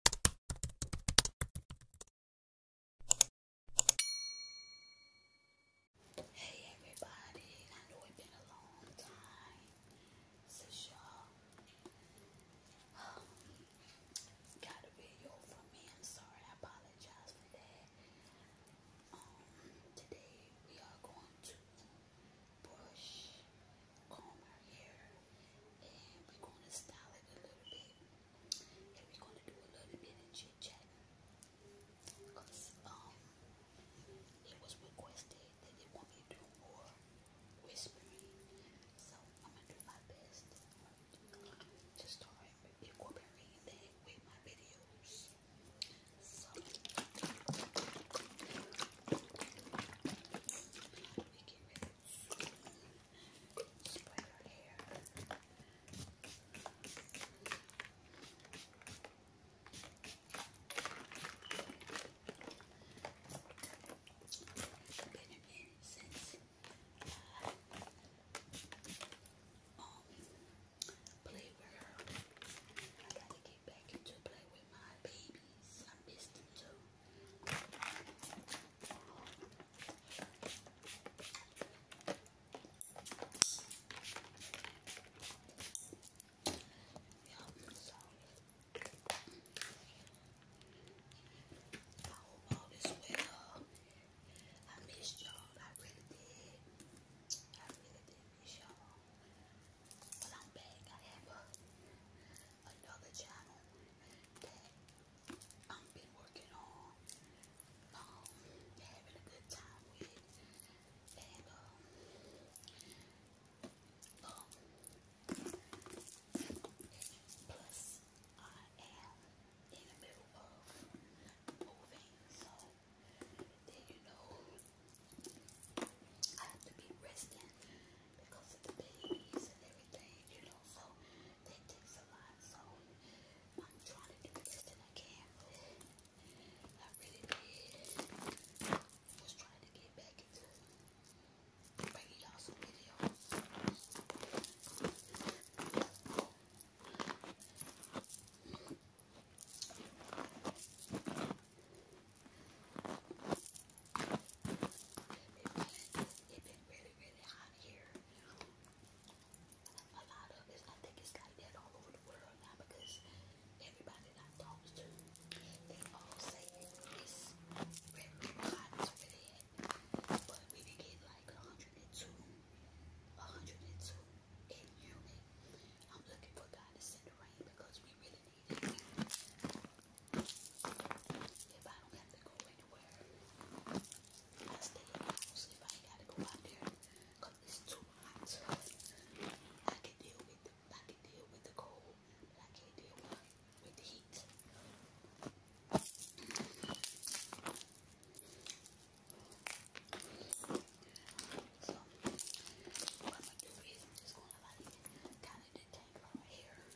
Hey everybody, I know it's been a long time since y'all um, got a video from me. I'm sorry, I apologize for that. Um, today we are going to brush, comb our hair, and we're going to style it a little bit, and we're going to do a little bit of chit chat, cause um, it was requested that they want me to do more whispering, so I'm gonna do my best to start incorporating that with my videos. So we get ready just put been a minute since uh, um, with her. I gotta get back into play with my babies. I miss them too so I hope all is well. I missed y'all. I really did. I really did miss y'all. But I'm back. I have another channel I've been working on having a good time with, and um, plus I am in the middle of moving, so you know I have to be resting because of the babies and everything, you know, so that takes a lot. So I'm trying to do the best that I can. I really did. Was trying to get back into bringing you videos really, really hot here. A lot of it, I think it's like that all over the world now because everybody that I to, they all say it's really hot over there. But we can get like 102, 102 in unit. I'm looking for God to send the rain because we really need it. If I don't have to go anywhere, I stay in the If I got to go out there, it's too hot. I can deal with the, I can deal with the cold, but I can't deal with, with heat. So what I'm going is just gonna like kind of detangle my hair.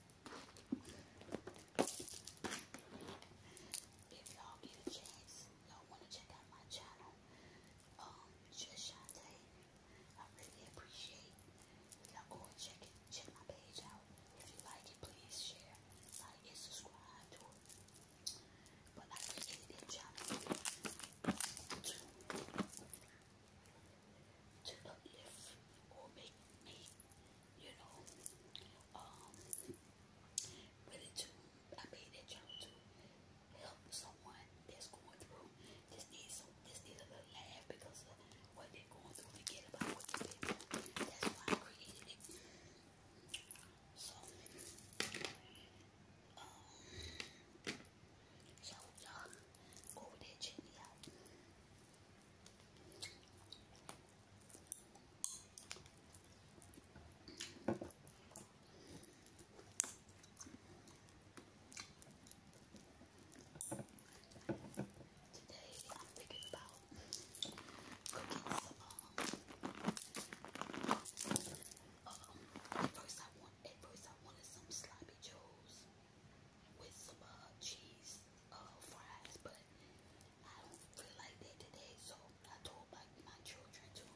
If y'all get a chance, y'all want to check out my channel, um, just Shantae. I really appreciate y'all go and check it, check my page out. If you like it, please share, like, and subscribe to it. But I appreciate that channel to to or make me you know, um, really to, I made that channel to help someone that's going through, just need some, just need a little laugh because of what they're going through, forget about what they've that's why I created it. So, um, so you go over there, check Today I'm thinking about cooking some um, first I want first I wanted some sloppy joes with some cheese uh fries but I don't feel like that today, so I told my, children to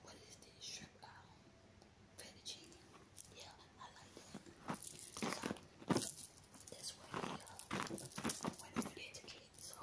what is this shrimp Yeah, I like that. So that's what we uh went over So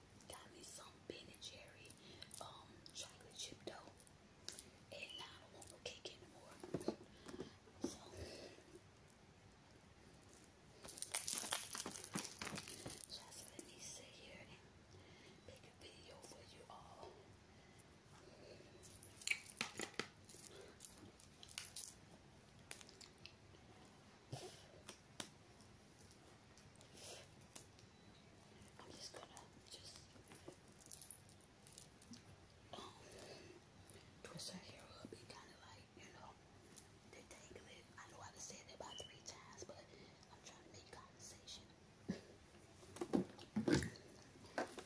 Got me some Ben and Jerry um, chocolate chip dough. And I don't want no cake anymore. So, just let me sit here and pick a video for you all. I'm just gonna just um, twist her hair up and kind of like, you know, detangle I know I've said it about three times, but I'm trying to make conversation.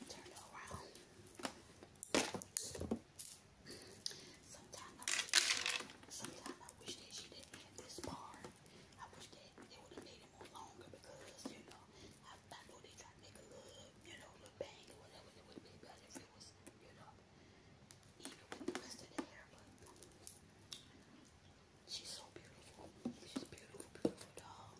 Turn around. Sometimes I sometimes I wish that she didn't have this part. I wish they, they would have made it longer because, you know, I, know they try to make a little, you know, little bang or whatever. It would have been if it was, you know, even with the rest of the hair. But she's so beautiful. She's beautiful, beautiful doll.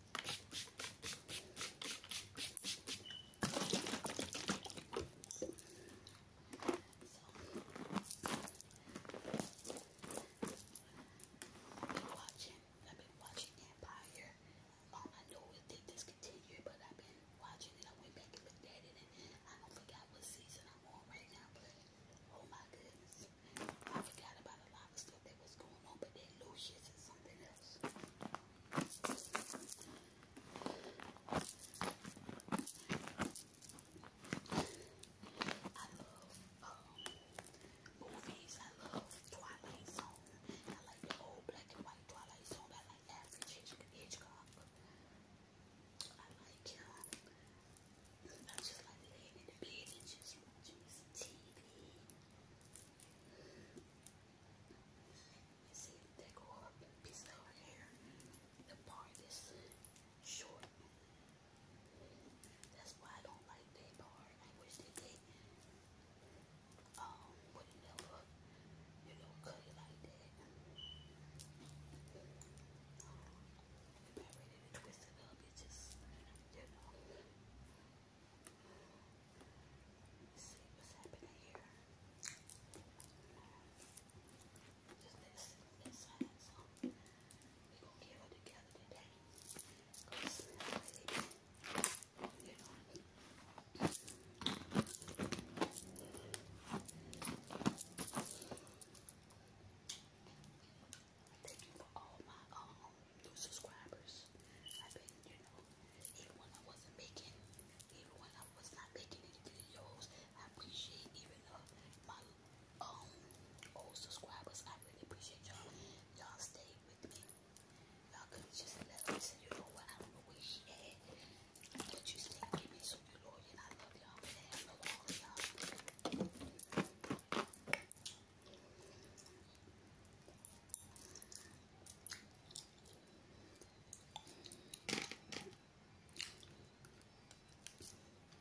I've been watching, I've been watching Empire. I know it did discontinue, but I've been watching it. I went back and looked it, I don't forget what season I'm on right now. oh my goodness, I forgot about a lot of stuff that was going on, but that Lucius is something else. I love movies. I love Twilight Zone. I like the old black and white Twilight Zone. I like Alfred Hitchcock. I like um, I just like laying in the bed and just watching some TV. You see, they go up and piece of hair. The part is short. That's why I don't like that part. I wish that they um would never, you know, cut it like that. If I ready to twist it up, it you know. Let's see what's happening here. Just this, this Thank you for all my new subscribers. I've you know, even when I wasn't making, even when I was not making any videos, I appreciate even uh, my um old subscribers. I really appreciate y'all. Y'all stay with me. Y'all could just let me say, you know what? I don't know where she at. But you stay with me, so you loyal. I love y'all. I love all of y'all.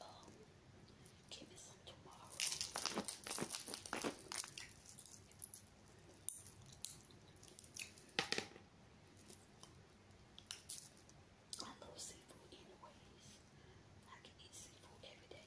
um, give I love seafood anyways. I can eat seafood every day.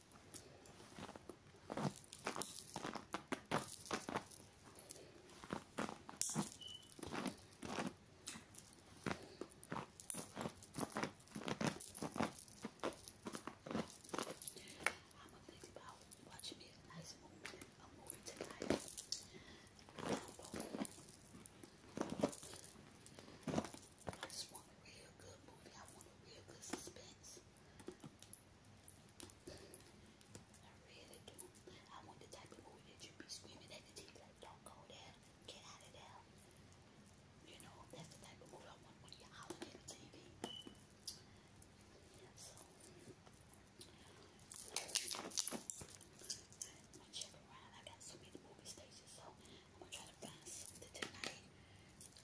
I'm gonna think about watching a nice movie, a movie tonight. I just want a real good movie. I want a real good suspense. I really do. I want the type of movie that you be screaming at the TV like, don't go there, get out of there. You know, that's the type of movie I want when you're hollering at the TV. so, I'm gonna check around. I got so many movie stations, so I'm gonna try to find something tonight.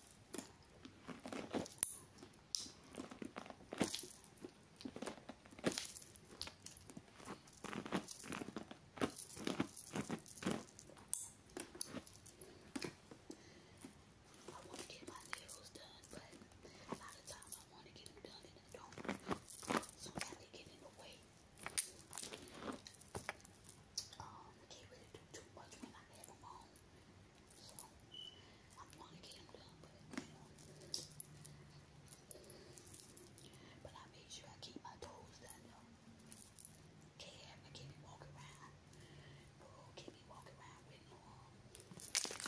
I want to get my nails done, but a lot of times I want to get them done and I don't. So I get in the way um, can't really do too much when I have them on. So, I'm going to get them done, but you I made sure I keep my toes done, though. Can't have I can't walking around. Bro, can't be walking around with no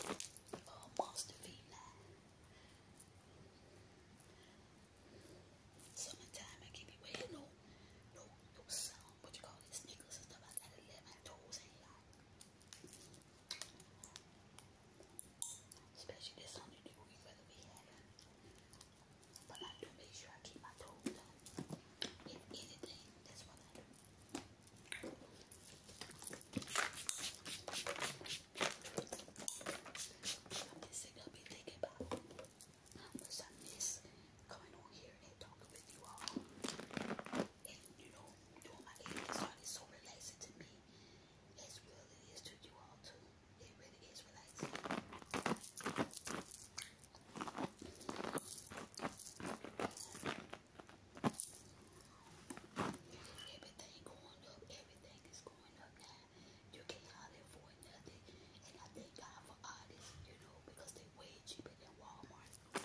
um, uh, monster feet now. Summertime, I can't wearing no, no, no um, what you call it, sneakers and stuff. I got 11 toes ain't like. Especially this on degree weather we had. But I do make sure I keep my toes done. If anything, that's what I do. I'm just gonna be thinking about Listen, miss, coming on here and talking with you all. And you know, doing my age is so relaxing to me. As well it is to you all too. It really is relaxing. Everything going up, everything is going up now. You can't hardly nothing. And I thank God for artists, you know, because they way it in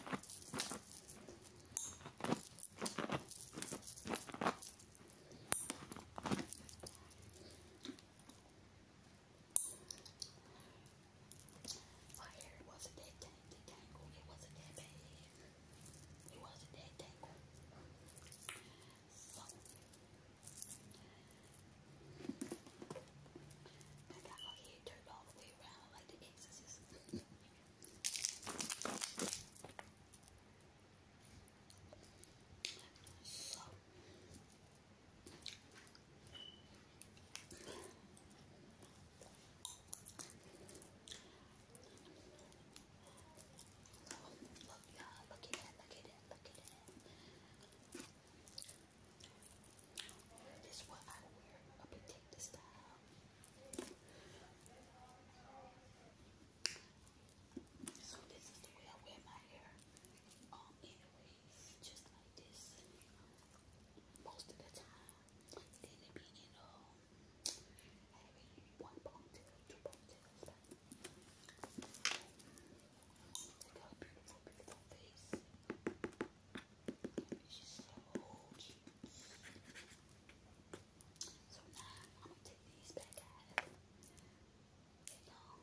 My hair wasn't that tangled. It wasn't that bad. It wasn't that tangled. That's not how you turned all the way around like the exorcist. Look, y'all, look at that, look at that, look at that. This is what I wear. I'll style. So this is the way I wear my hair. Um, anyways, just like this. Most of the time, then it be in having one ponytail, two ponytails. Look how beautiful, beautiful face. She's so cute. So now I'm gonna take these back out. And um,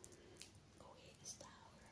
go ahead and style her.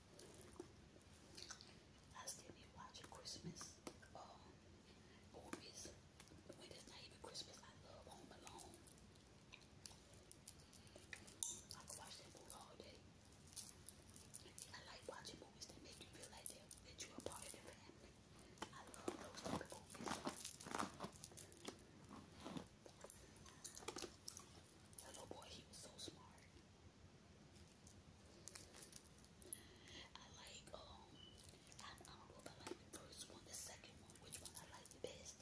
I still be watching Christmas um, movies. When it's not even Christmas, I love Home Alone. I can watch that movie all day. I like watching movies that make you feel like you're a part of the family. I love those type of movies. Hello boy, he was so smart. I like, um, I, don't know if I like the first one, the second one, which one I like the best.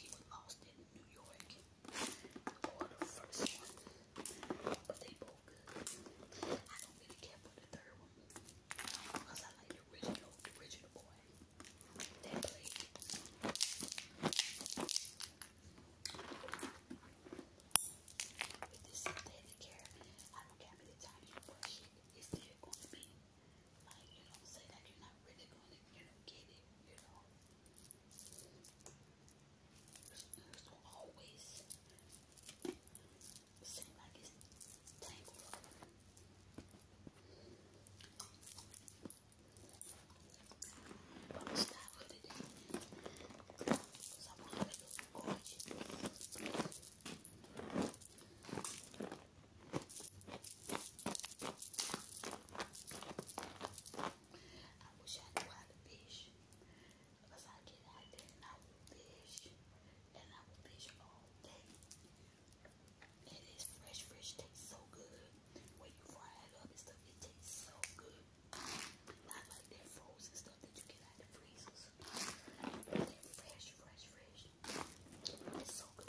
he was lost in New York, the first one, but they both good. I don't really care for the third one, because I like the original, the original boy. With this synthetic hair, I don't care how many times you brush it, going to be like, you know, say that you're not really going to, you know, get it, you know. It's always seem like it's tangled Vamos estar olhando I wish I knew how to fish I get out there and I will fish and I will fish all day. It is fresh, fresh. Tastes so good. When you fry it up and stuff, it tastes so good. Not like that frozen stuff that you get out the freezers. fresh, fresh, fresh. It's so good.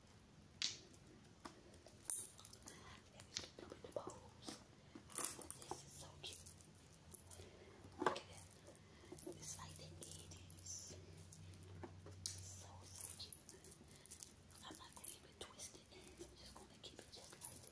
Let me just dump in the bowls. This is so cute. Look at that. It's like the 80s. So, so cute. I'm not going to keep it I'm just going to keep it just like this.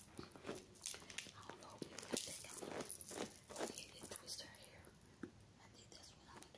I don't know, I think I'm gonna I think that's what I'm gonna do.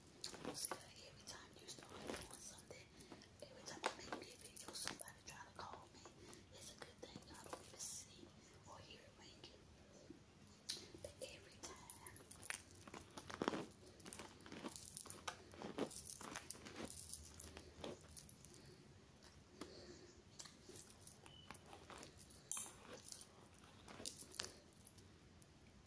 It's every time you start doing something, every time I make me a video, somebody trying to call me. It's a good thing I don't see or hear it ringing. But every time,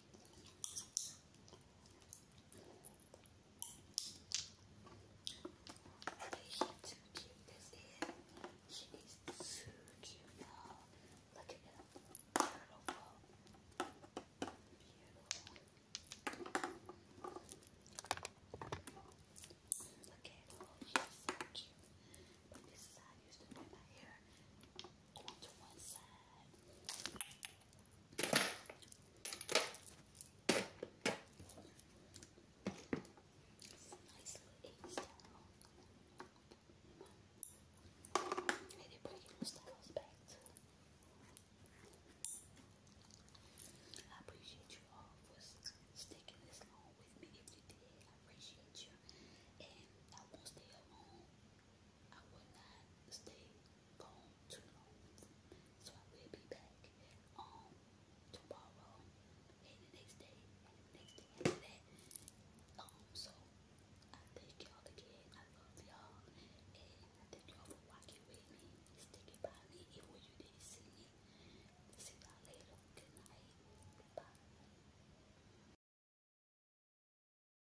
too cute this is. She is too cute you Look at him. Beautiful. Beautiful. Look at her. She's so cute. this is used to do my hair. Going to one side. Hey, they're bringing those back I appreciate you all for sticking this long with me. If you did, I appreciate you. And I won't stay alone. I will not stay gone too long, so I will be back um tomorrow and the next day next day after that. Um, so I thank y'all again. I love y'all, and thank y'all for walking with me, sticking by me, even when you didn't see me. See y'all later. Good night. Bye.